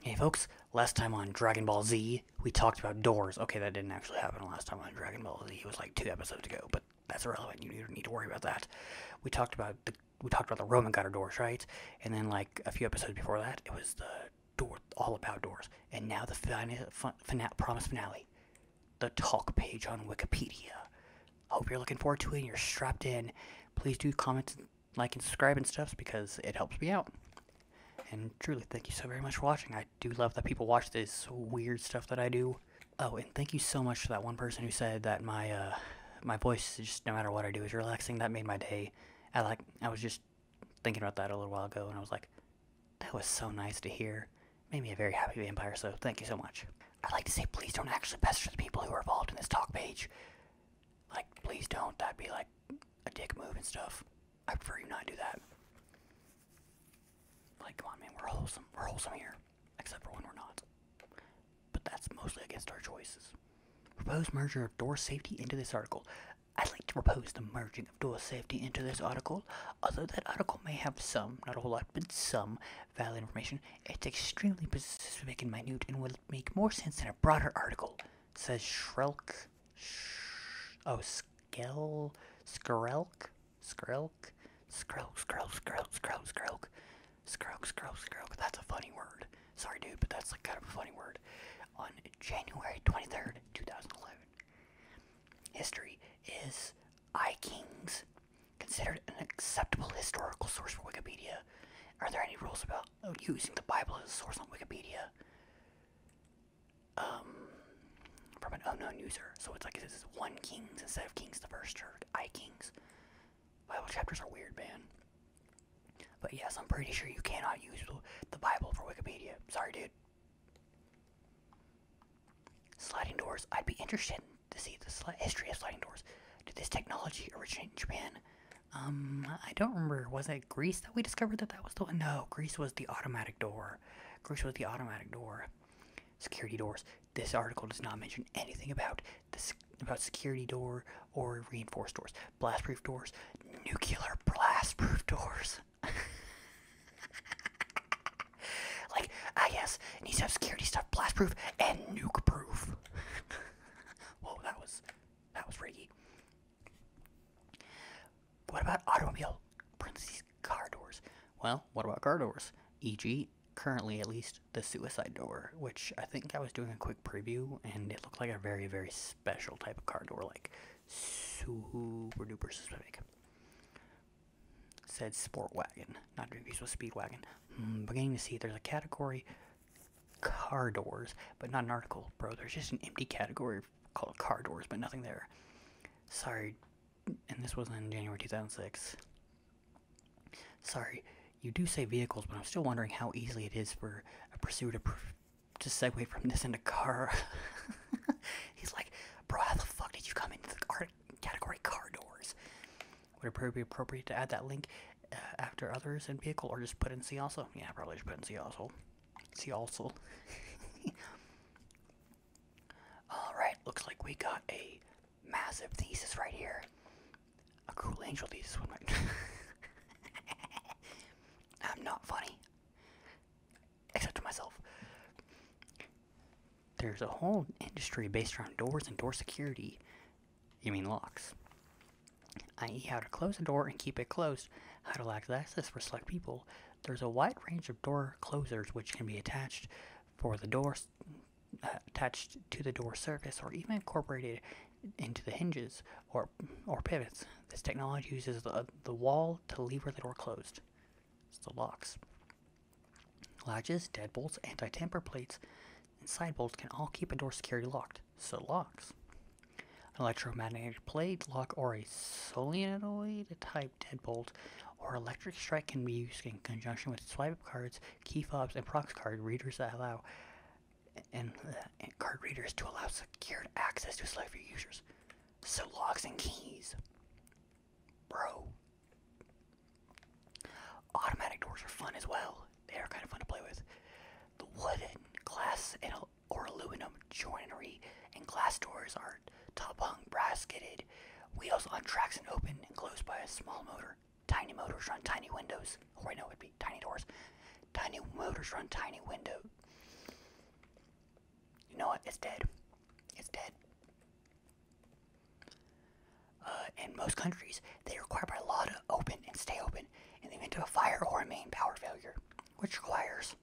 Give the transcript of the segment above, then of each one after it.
Hey folks, last time on Dragon Ball Z, we talked about doors. Okay, that didn't actually happen last time on Dragon Ball Z. It was like two episodes ago, but that's irrelevant. You don't need to worry about that. We talked about the we talked about the Roman god of doors, right? And then like a few episodes before that, it was the door all about doors. And now the final promise finale, the talk page on Wikipedia. I Hope you're looking forward to it and you're strapped in. Please do comment like and subscribe and stuff because it helps me out. And truly, thank you so very much for watching. I do love that people watch this weird stuff that I do. Oh, and thank you so much to that one person who said that my uh, my voice, just no matter what I do, is relaxing. That made my day. I like I was just thinking about that a little while ago, and I was like, that was so nice to hear. Made me a very happy vampire. So thank you so much. I'd like to say, please don't actually pester the people who are involved in this talk page. Like, please don't. That'd be like a dick move and stuff. I prefer you not do that. Like, come on, man, we're wholesome. We're wholesome here. Except for when we're not. But that's mostly against our choices. Proposed merger of door safety into this article. I'd like to propose the merging of door safety into this article. Although that article may have some, not a whole lot, but some valid information, it's extremely specific and minute and will make more sense in a broader article. It says Shrelk. Sh oh, Skel. Skrelk? Skrelk? Skrelk, Skrelk, Skrelk, Skrelk, Skrelk. Skrelk, Skrelk, Skrelk. That's a funny word. Sorry, dude, but that's like kind of a funny word. On January 23rd, 2011, history is I Kings considered an acceptable historical source for Wikipedia? Are there any rules about using the Bible as a source on Wikipedia um, from an unknown user. So it's like it says 1 Kings instead of Kings the First Church, I Kings. Bible chapters are weird, man. But yes, I'm pretty sure you cannot use the Bible for Wikipedia. Sorry, dude. Sliding doors. I'd be interested to see the history of sliding doors. Did this technology originate in Japan? Um, I don't remember. Was it Greece that we discovered that that was the one? No, Greece was the automatic door. Greece was the automatic door. Security doors. This article does not mention anything about this about security door or reinforced doors, blast-proof doors, nuclear blast-proof doors. like, I guess it needs to have security stuff, blast-proof and nuke-proof. that was that was Riggy. What about automobile? Parentheses, car doors. Well, what about car doors? E.g., currently at least the suicide door, which I think I was doing a quick preview and it looked like a very, very special type of car door, like super duper specific. Said sport wagon, not to be with speed wagon. Hmm, beginning to see there's a category car doors, but not an article, bro. There's just an empty category called car doors, but nothing there. Sorry, and this wasn't January 2006. Sorry, you do say vehicles, but I'm still wondering how easily it is for a pursuit to, pr to segue from this into car. He's like, bro, how the fuck did you come into the car category car doors? Would it probably be appropriate to add that link uh, after others in vehicle, or just put in see also. Yeah, probably just put in see also. See also. Alright, looks like we got a massive thesis right here. A cruel angel thesis I'm not funny. Except to myself. There's a whole industry based around doors and door security you mean locks. I.e. how to close a door and keep it closed, how to allow access for select people. There's a wide range of door closers which can be attached for the door uh, attached to the door surface or even incorporated into the hinges or, or pivots. This technology uses the, the wall to lever the door closed. It's locks. Latches, deadbolts, anti-tamper plates, and side bolts can all keep a door securely locked. So locks. An electromagnetic plate, lock, or a solenoid type deadbolt or electric strike can be used in conjunction with swipe up cards, key fobs, and prox card readers that allow and, card readers to allow secured access to select few users. So locks and keys. Bro. Automatic doors are fun as well. They are kind of fun to play with. The wooden, glass, and or aluminum joinery and glass doors are top-hung, brass gitted, wheels on tracks and open and closed by a small motor. Tiny motors run tiny windows. Or oh, I know it would be tiny doors. Tiny motors run tiny window. You know what? It's dead. It's dead. Uh, in most countries, they require by law to open and stay open in the event of a fire or a main power failure, which requires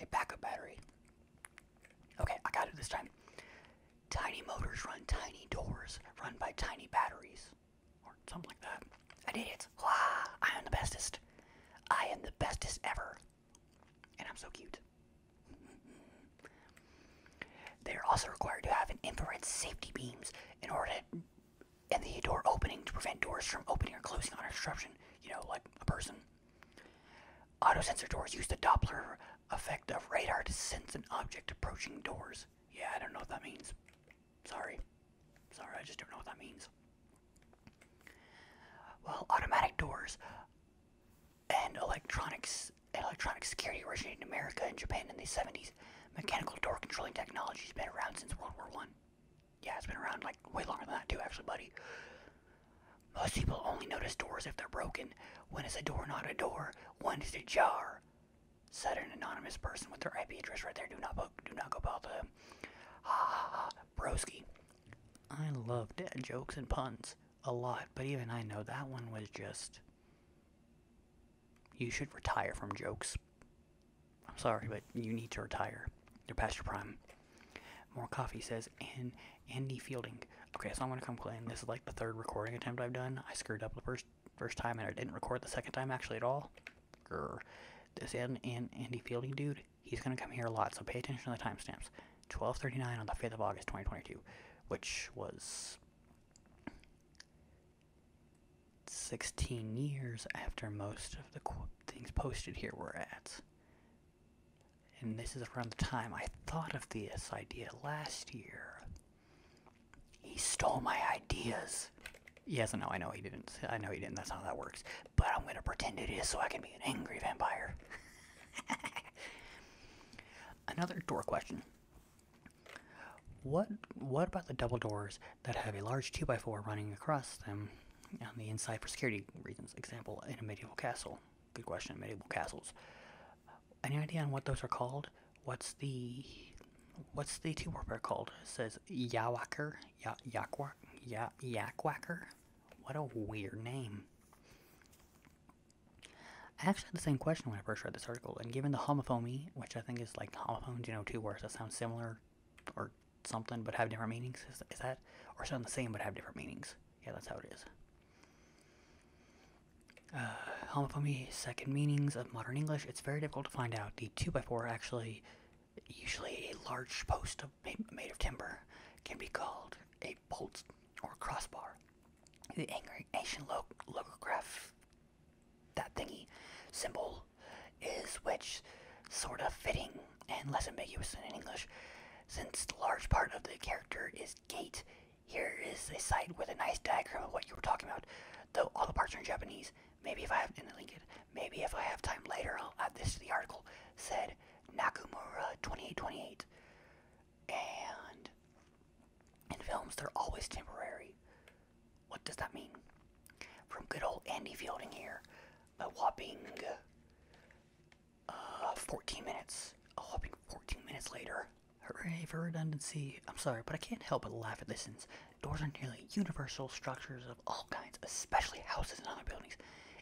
a backup battery. Okay, I got it this time. Tiny motors run tiny doors run by tiny batteries, or something like that. I did it! Wow, I am the bestest. I am the bestest ever, and I'm so cute. They are also required to have an infrared safety beams in order to and the door opening to prevent doors from opening or closing on disruption, you know, like a person. Auto sensor doors use the Doppler effect of radar to sense an object approaching doors. Yeah, I don't know what that means. Sorry. Sorry, I just don't know what that means. Well, automatic doors and electronics and electronic security originated in America and Japan in the 70s mechanical door controlling technology has been around since World War One. Yeah, it's been around like way longer than that too, actually, buddy. Most people only notice doors if they're broken. When is a door not a door? When is a jar? Said an anonymous person with their IP address right there. Do not book, do not go bother them. Ah, broski. I love jokes and puns a lot, but even I know that one was just you should retire from jokes. I'm sorry, but you need to retire. You're past your prime. More coffee says, and Andy Fielding. Okay, so I'm gonna come complain. This is like the third recording attempt I've done. I screwed up the first first time, and I didn't record the second time actually at all. This and, and Andy Fielding dude, he's gonna come here a lot, so pay attention to the timestamps. 12:39 on the 5th of August, 2022, which was 16 years after most of the things posted here were ads. And this is around the time I thought of this idea last year. He stole my ideas. Yes and no, I know he didn't. I know he didn't. That's how that works. But I'm going to pretend it is so I can be an angry vampire. Another door question. What what about the double doors that have a large 2x4 running across them on the inside for security reasons? Example, in a medieval castle. Good question, medieval castles. Any idea on what those are called? What's the what's the two warfare called? It says Yawacker, ya, Yakwak, ya, Yakwhacker. What a weird name. I actually had the same question when I first read this article, and given the homophony, which I think is like homophones, you know, two words that sound similar or something but have different meanings, is, that, or sound the same but have different meanings? Yeah, that's how it is. Uh, homophony, second meanings of modern English, it's very difficult to find out. The 2x4 actually, usually a large post of, made of timber, can be called a bolt or crossbar. The angry ancient log- logograph that thingy symbol is which sort of fitting and less ambiguous than in English. Since the large part of the character is gate, here is a site with a nice diagram of what you were talking about, though all the parts are in Japanese. Maybe if I have, and link it, maybe if I have time later, I'll add this to the article, said Nakamura2828. And in films, they're always temporary. What does that mean? From good old Andy Fielding here, a whopping uh, 14 minutes. A whopping 14 minutes later. Hooray for redundancy. I'm sorry, but I can't help but laugh at this since doors are nearly universal structures of all kinds, especially houses and other buildings.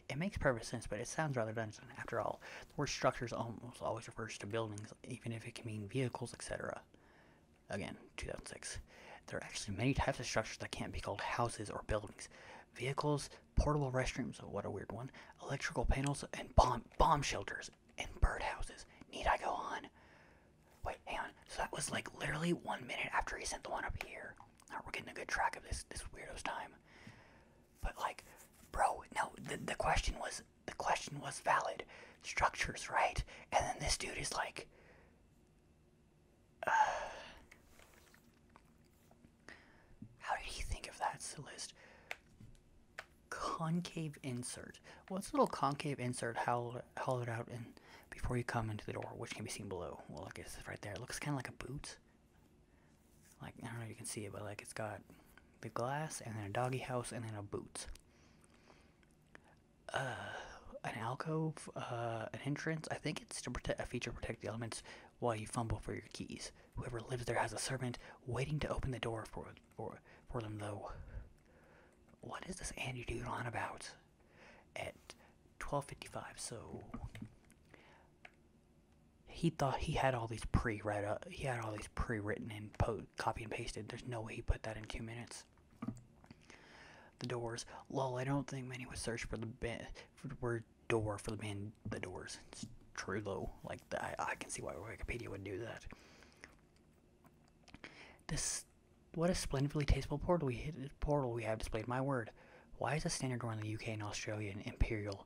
It makes perfect sense, but it sounds rather dungeon. after all. The word structures always refers to buildings, even if it can mean vehicles, etc. Again, 2006. There are actually many types of structures that can't be called houses or buildings. Vehicles, portable restrooms, what a weird one, electrical panels, and bomb, bomb shelters, and birdhouses. Need I go on? Wait, hang on. So that was like literally one minute after he sent the one up here. Now we're getting a good track of this, this weirdo's time. But like, bro, no, the, the question was the question was valid structures, right? And then this dude is like, uh, how did he think of that list? Concave insert. What's a little concave insert hollowed, it out and before you come into the door, which can be seen below. Well, I guess right there. It looks kind of like a boot. Like, I don't know if you can see it, but like it's got the glass and then a doggy house and then a boot. Uh, an alcove, uh, an entrance. I think it's to protect a feature protect the elements while you fumble for your keys. Whoever lives there has a servant waiting to open the door for for for them though. What is this Andy dude on about? At 12:55, so he thought he had all these pre read uh, he had all these pre written and post copy and pasted. There's no way he put that in two minutes. The Doors. Lol, I don't think many would search for the word door for the man. The Doors. It's true low. Like I, I can see why Wikipedia would do that. This what a splendidly tasteful portal we have displayed. My word. Why is the standard door in the UK and Australia an Imperial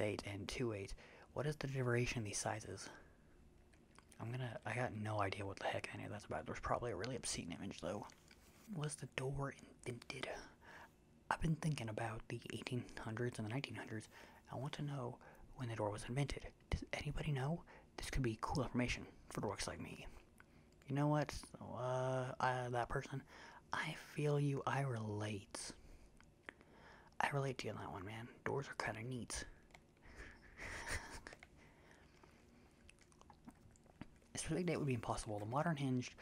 eight and two eight? What is the derivation of these sizes? I'm gonna. I got no idea what the heck any of that's about. There's probably a really obscene image though. Was the door invented? I've been thinking about the 1800s and the 1900s. I want to know when the door was invented. Does anybody know? This could be cool information for dorks like me. You know what? uh, that person, I feel you. I relate. I relate to you on that one, man. Doors are kind of neat. Specific date would be impossible. The modern hinged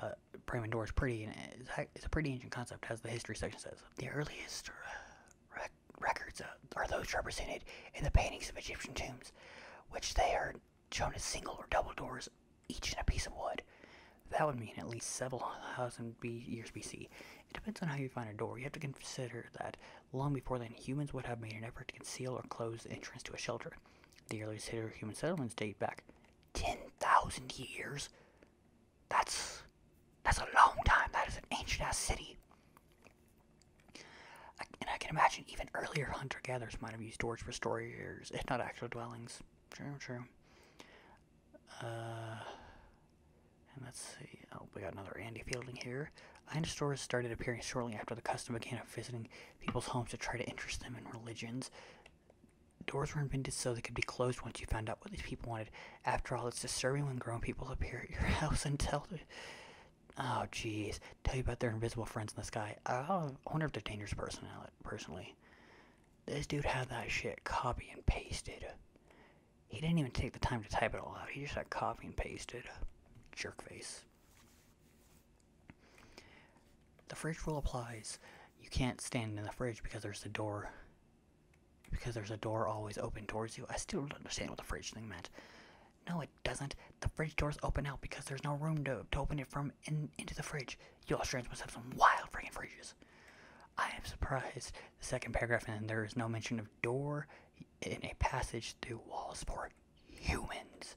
uh, Bremen door is pretty, and uh, it's a pretty ancient concept, as the history section says. The earliest uh, records uh, are those represented in the paintings of Egyptian tombs, which they are shown as single or double doors, each in a piece of wood. That would mean at least several thousand B years BC. It depends on how you find a door. You have to consider that long before then, humans would have made an effort to conceal or close the entrance to a shelter. The earliest human settlements date back 10,000 years. That's that's a long time. That is an ancient ass city. and I can imagine even earlier hunter gatherers might have used doors for storage, if not actual dwellings. True, true. Uh, and let's see. Oh, we got another Andy Fielding here. I Line stores started appearing shortly after the custom began of visiting people's homes to try to interest them in religions. Doors were invented so they could be closed once you found out what these people wanted. After all, it's disturbing when grown people appear at your house and tell. Oh, jeez. Tell you about their invisible friends in the sky. I wonder if they're dangerous personally. This dude had that shit copy and pasted. He didn't even take the time to type it all out. He just like copy and pasted. Jerk face. The fridge rule applies. You can't stand in the fridge because there's the door. Because there's a door always open towards you. I still don't understand what the fridge thing meant. No, it doesn't. The fridge doors open out because there's no room to, to open it from in, into the fridge. You Australians must have some wild freaking fridges. I am surprised the second paragraph, and there is no mention of door in a passage through walls for humans.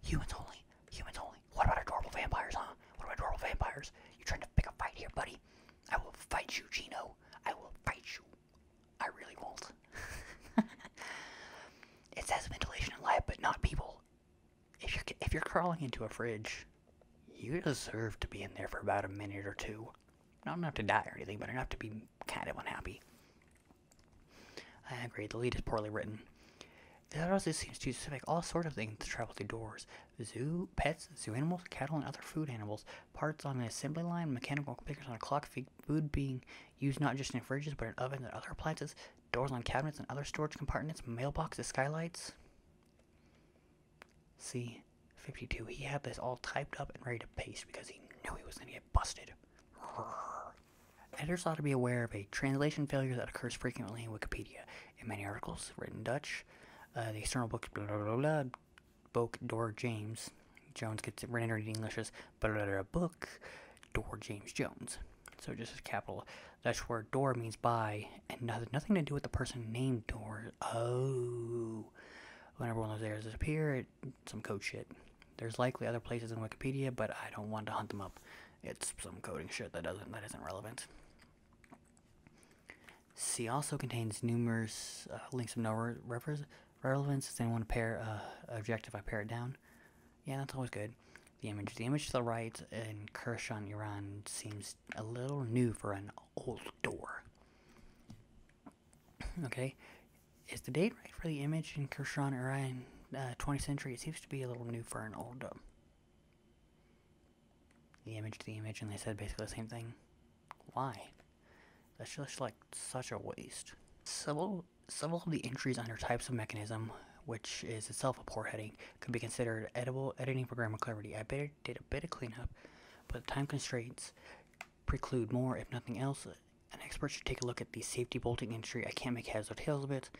Humans only. Humans only. What about adorable vampires, huh? What about adorable vampires? You trying to pick a fight here, buddy? I will fight you, Gino. I will fight you. I really won't. it says ventilation and light, but not people. If you're if you're crawling into a fridge, you deserve to be in there for about a minute or two. Not enough to die or anything, but enough to be kind of unhappy. I agree, the lead is poorly written. The also seems to suspect all sorts of things to travel through doors. Zoo, pets, zoo animals, cattle, and other food animals. Parts on an assembly line, mechanical figures on a clock, food being used not just in fridges but in ovens and other appliances, doors on cabinets and other storage compartments, mailboxes, skylights. See, 52. He had this all typed up and ready to paste because he knew he was going to get busted. Editors ought to be aware of a translation failure that occurs frequently in Wikipedia. In many articles written in Dutch, uh, the external book, door James Jones gets rendered in English as blah, blah, book Dor James Jones. So just as capital the Dutch word door means by, and has nothing to do with the person named Door. Oh. whenever When everyone was there, disappear, some code shit. There's likely other places in Wikipedia, but I don't want to hunt them up. It's some coding shit that doesn't that isn't relevant. C also contains numerous uh, links of no re reference relevance. Does anyone pair uh, object if I pare it down. Yeah, that's always good. The image, the image to the right in Kershon, Iran, seems a little new for an old door. Okay, is the date right for the image in Kershaw Orion uh, 20th century? It seems to be a little new for an old. Um, the image to the image, and they said basically the same thing. Why? That's just like such a waste. Several, several of the entries under types of mechanism, which is itself a poor heading, could be considered edible editing programmability. I bet did a bit of cleanup, but time constraints preclude more, if nothing else. An expert should take a look at the safety bolting injury. I can't make heads or tails of it.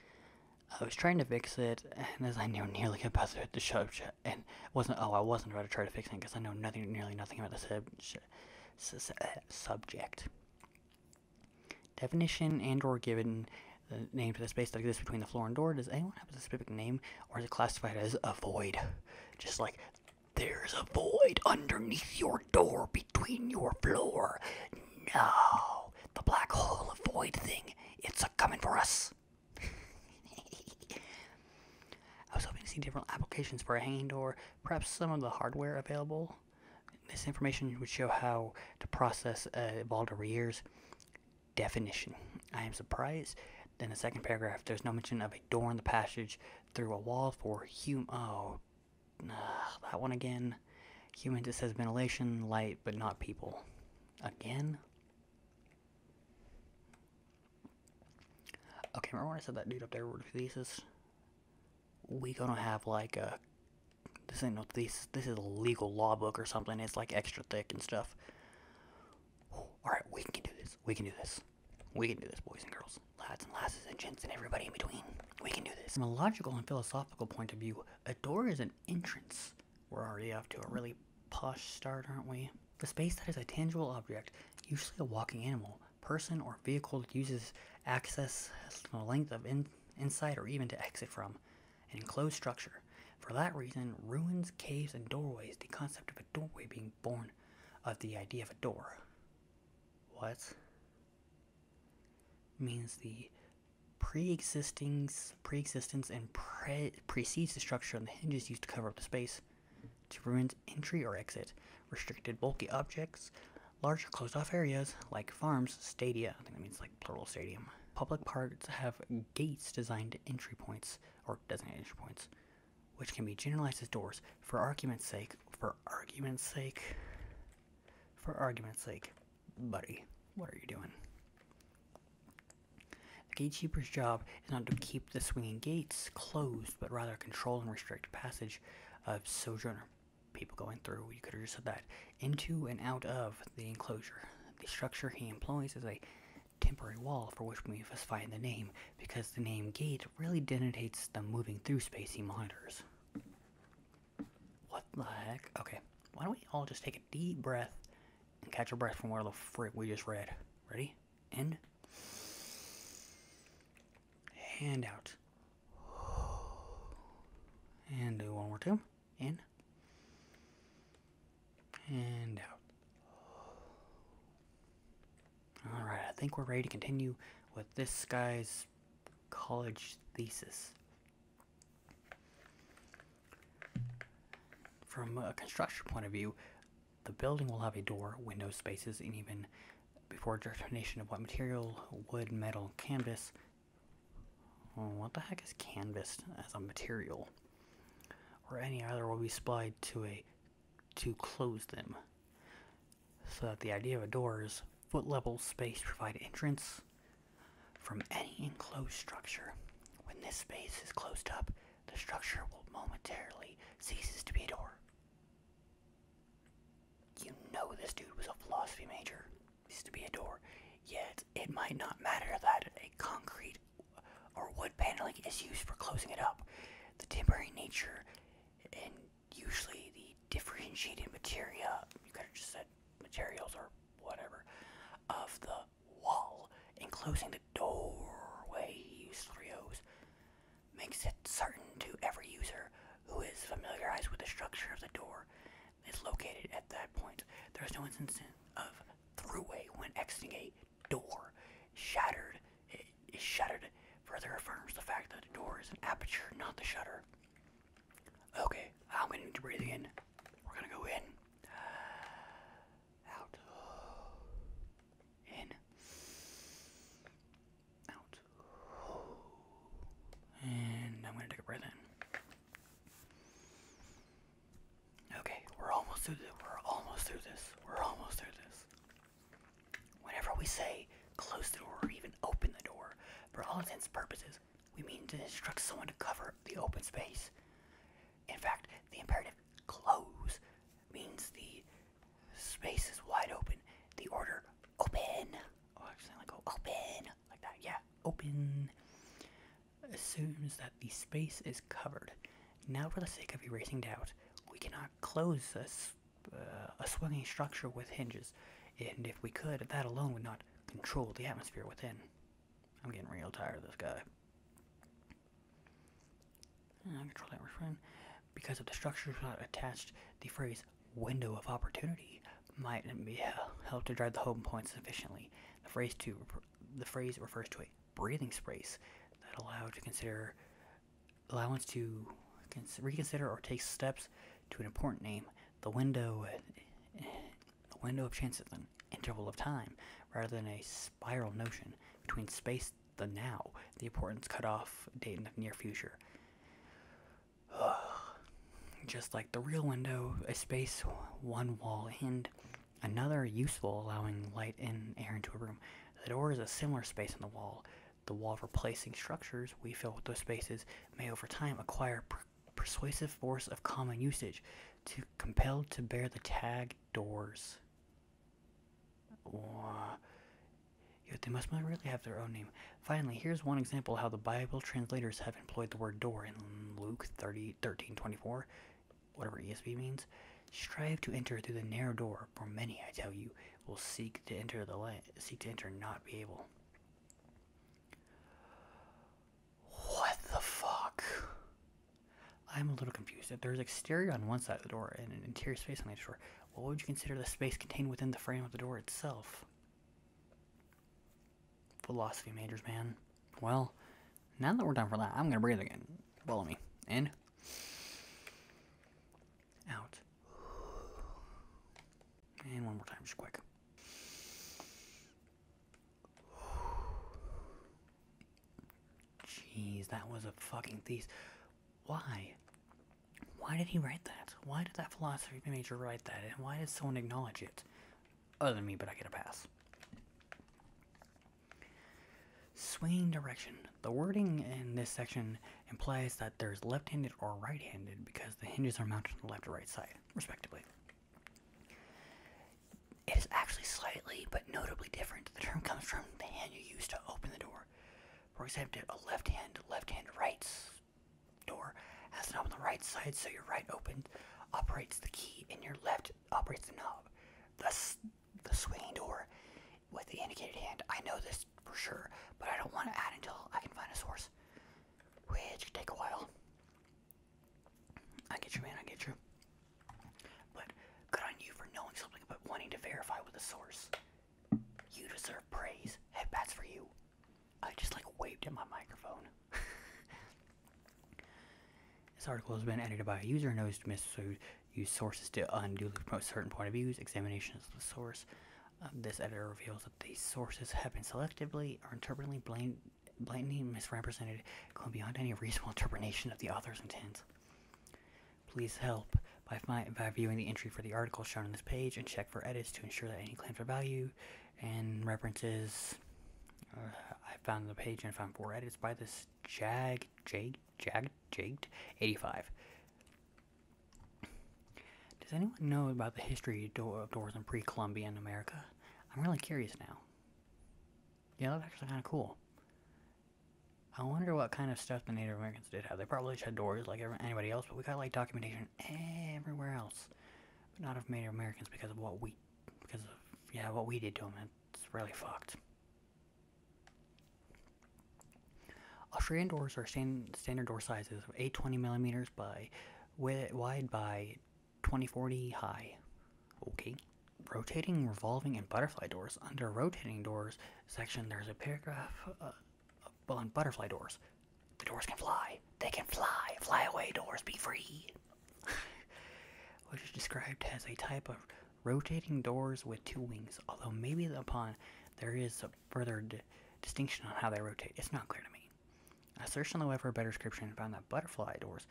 I was trying to fix it, and as I know nearly about to hit the shop and wasn't, oh, I wasn't about to try to fix it because I know nothing, nearly nothing about the uh, subject. Definition and or given the name for the space that exists between the floor and door. Does anyone have a specific name, or is it classified as a void? Just like there's a void underneath your door between your floor. No, the black hole of void thing. It's a coming for us. I was hoping to see different applications for a hand door, perhaps some of the hardware available. This information would show how the process uh, evolved over years definition. I am surprised in the second paragraph there's no mention of a door in the passage through a wall for hum. Oh, that one again. Human just says ventilation, light, but not people. Again? Okay, remember when I said that dude up there wrote a thesis? We gonna have like a. This ain't no thesis. This is a legal law book or something. It's like extra thick and stuff. All right, we can do this. We can do this. We can do this, boys and girls, lads and lasses and gents and everybody in between. We can do this. From a logical and philosophical point of view, a door is an entrance. We're already off to a really posh start, aren't we? The space that is a tangible object, usually a walking animal, person, or vehicle that uses access to the length of in, inside or even to exit from an enclosed structure. For that reason, ruins, caves, and doorways, the concept of a doorway being born of the idea of a door. What? Means the pre-existence pre and precedes the structure and the hinges used to cover up the space to prevent entry or exit, restricted bulky objects, large closed-off areas like farms, stadia, I think that means like. Plural Stadium. Public parks have gates designed entry points, or designated entry points, which can be generalized as doors. For argument's sake, for argument's sake, for argument's sake, buddy, what are you doing? The gatekeeper's job is not to keep the swinging gates closed, but rather control and restrict passage of sojourner. People going through, you could have just said that into and out of the enclosure. The structure he employs is a temporary wall for which we must find the name, because the name gate really denotates the moving through space he monitors. What the heck? Okay, why don't we all just take a deep breath and catch our breath from what the frick we just read. Ready? In. hand out. And do one more time. In and out. Alright, I think we're ready to continue with this guy's college thesis. From a construction point of view, the building will have a door, window spaces, and even before determination of what material, wood, metal, canvas, Hmm, what the heck is canvas as a material? Or any other will be supplied to a to close them. So that the idea of a door is foot level space provide entrance from any enclosed structure. When this space is closed up, the structure will momentarily ceases to be a door. You know this dude was a philosophy major needs to be a door. Yet, it might not matter that a concrete or wood paneling is used for closing it up. The temporary nature and usually the differentiated material, you could have just said materials or whatever, of the wall enclosing the doorway, three O's, makes it certain to every user who is familiarized with the structure of the door is located at that point. There is no instance of throughway when exiting a door. Shattered it is shattered. further affirms the fact that the door is an aperture, not the shutter. Okay, I'm going to breathe in. We're going to go in. Out. In. Out. And I'm going to take a breath in. Okay, we're almost through this. We're almost through this. We're almost through this. Whenever we say close the door or even open the door, for all intents and purposes, we mean to instruct someone to cover the open space. In fact, the imperative close means the space is wide open. The order open. Oh, actually, like oh, open like that. Yeah, open assumes that the space is covered. Now, for the sake of erasing doubt, we cannot close uh, a, swinging structure with hinges, and if we could, that alone would not control the atmosphere within. I'm getting real tired of this guy. control that friend. Because if the structure is not attached, the phrase window of opportunity might be help to drive the home point sufficiently. The phrase to the phrase refers to a breathing space that allows to consider allowance to reconsider or take steps to an important name. The window, the window of chance is an interval of time rather than a spiral notion between space the now, the importance cut off date in the near future just like the real window, a space, one wall, and another useful, allowing light and air into a room. The door is a similar space in the wall. The wall replacing structures we fill with those spaces may over time acquire persuasive force of common usage to compelled to bear the tag doors. Or, they must really have their own name. Finally, here's one example how the Bible translators have employed the word door in Luke 30, 13, 24, whatever ESV means. Strive to enter through the narrow door, for many, I tell you, will seek to enter the light, seek to enter, not be able. What the fuck? I'm a little confused. If there's exterior on one side of the door and an interior space on the other door, what would you consider the space contained within the frame of the door itself? philosophy majors, man. Well, now that we're done for that, I'm gonna breathe again. Follow me. In. Out. And one more time, just quick. Jeez, that was a fucking thesis. Why? Why did he write that? Why did that philosophy major write that? And why does someone acknowledge it? other than me, but I get a pass. Swinging direction. The wording in this section implies that there's left handed or right handed because the hinges are mounted on the left or right side, respectively. It is actually slightly but notably different. The term comes from the hand you use to open the door. For example, a left hand, left hand, rights door has a knob on the right side, so your right open operates the key and your left operates the knob. Thus, the swinging door with the indicated hand. I know this for sure, but I don't want to add until I can find a source, which could take a while. I get you, man. I get you. But good on you for knowing something, but wanting to verify with a source. You deserve praise. Headbats for you. this article has been edited by a user who knows to misuse sources to unduly promote certain point of views. Examination of the source. Um, this editor reveals that these sources have been selectively or interpretively blamed blatantly misrepresented, going beyond any reasonable interpretation of the author's intent. Please help by, by viewing the entry for the article shown on this page and check for edits to ensure that any claim for value and references. Uh, I found the page and found four edits by this Jag Jag Jag Jagged 85. Does anyone know about the history of doors in pre-Columbian America? I'm really curious now. Yeah, that's actually kind of cool. I wonder what kind of stuff the Native Americans did have. They probably had doors like everybody else, but we got like documentation everywhere else. But not of Native Americans because of what we, because of, yeah, what we did to them. It's really fucked. Australian doors are stand, standard door sizes 820 millimeters by wide by 2040 high. Okay. Rotating, revolving, and butterfly doors. Under rotating doors section, there's a paragraph uh, on butterfly doors. The doors can fly. They can fly. Fly away doors. Be free. Which is described as a type of rotating doors with two wings, although maybe upon there is a further distinction on how they rotate. It's not clear to me. I searched on the web for a better description and found that butterfly doors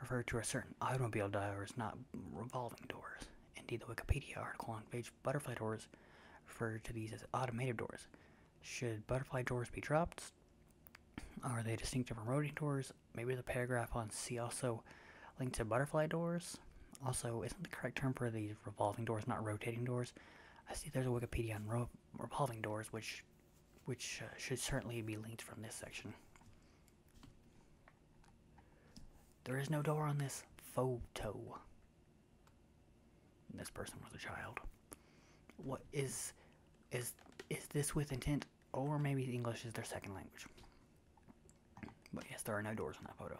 refer to a certain automobile doors, not revolving doors. Indeed, the Wikipedia article on page butterfly doors refer to these as automated doors. Should butterfly doors be dropped? Are they distinct from rotating doors? Maybe the paragraph on C also linked to butterfly doors? Also, isn't the correct term for these revolving doors not rotating doors? I see there's a Wikipedia on revolving doors, which which uh, should certainly be linked from this section. There is no door on this photo this person was a child. What is is is this with intent? Or maybe English is their second language. But yes, there are no doors on that photo.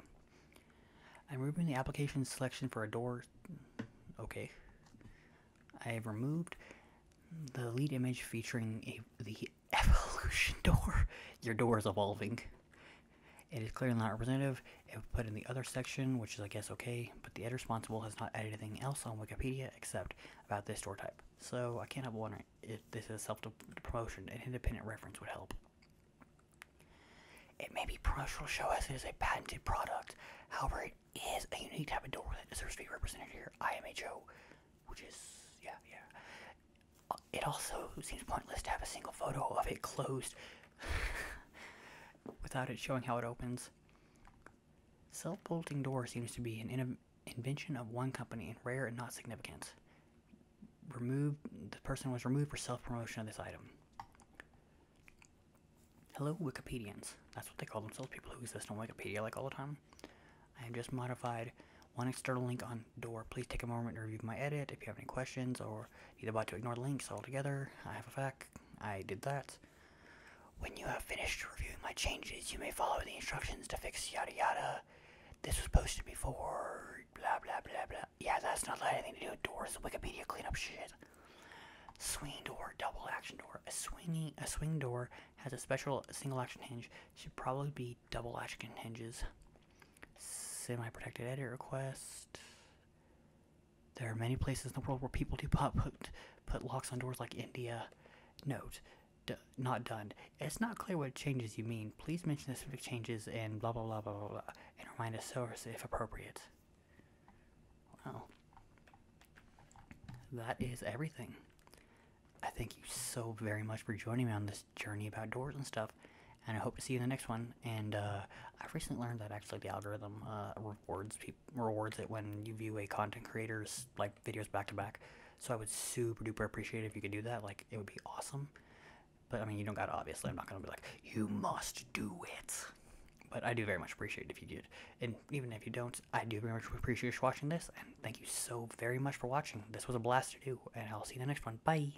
I'm removing the application selection for a door. Okay. I have removed the lead image featuring the evolution door. Your door is evolving. It is clearly not representative. It would put in the other section, which is I guess okay, but the ed responsible has not added anything else on Wikipedia except about this door type. So I can't help wondering if this is self-promotion. An independent reference would help. It may be promotional, show us it is a patented product. However, it is a unique type of door that deserves to be represented here. IMHO, which is, yeah, yeah. Uh, it also seems pointless to have a single photo of it closed. without it showing how it opens. Self-bolting door seems to be an invention of one company and rare and not significant. Removed, the person was removed for self-promotion of this item. Hello, Wikipedians. That's what they call themselves, people who exist on Wikipedia like all the time. I am just modified one external link on door. Please take a moment to review my edit if you have any questions or either about to ignore links altogether. I have a fact I did that. When you have finished reviewing my changes, you may follow the instructions to fix yada yada. This was posted before, blah blah blah blah. Yeah, that's not like anything to do with doors. Wikipedia cleanup shit. Swing door, double action door. A swingy, a swing door has a special single action hinge. Should probably be double action hinges. Semi-protected edit request. There are many places in the world where people do put put, locks on doors, like India. Note, not done. It's not clear what changes you mean. Please mention the specific changes and blah blah blah blah blah, and remind us source if appropriate. Wow. That is everything. I thank you so very much for joining me on this journey about doors and stuff and I hope to see you in the next one. And uh, I recently learned that actually the algorithm uh, rewards rewards it when you view a content creator's like videos back to back. So I would super duper appreciate if you could do that. Like it would be awesome. But I mean, you don't got obviously. I'm not gonna be like you must do it. But I do very much appreciate if you did. And even if you don't, I do very much appreciate watching this. And thank you so very much for watching. This was a blast to do. And I'll see you in the next one. Bye.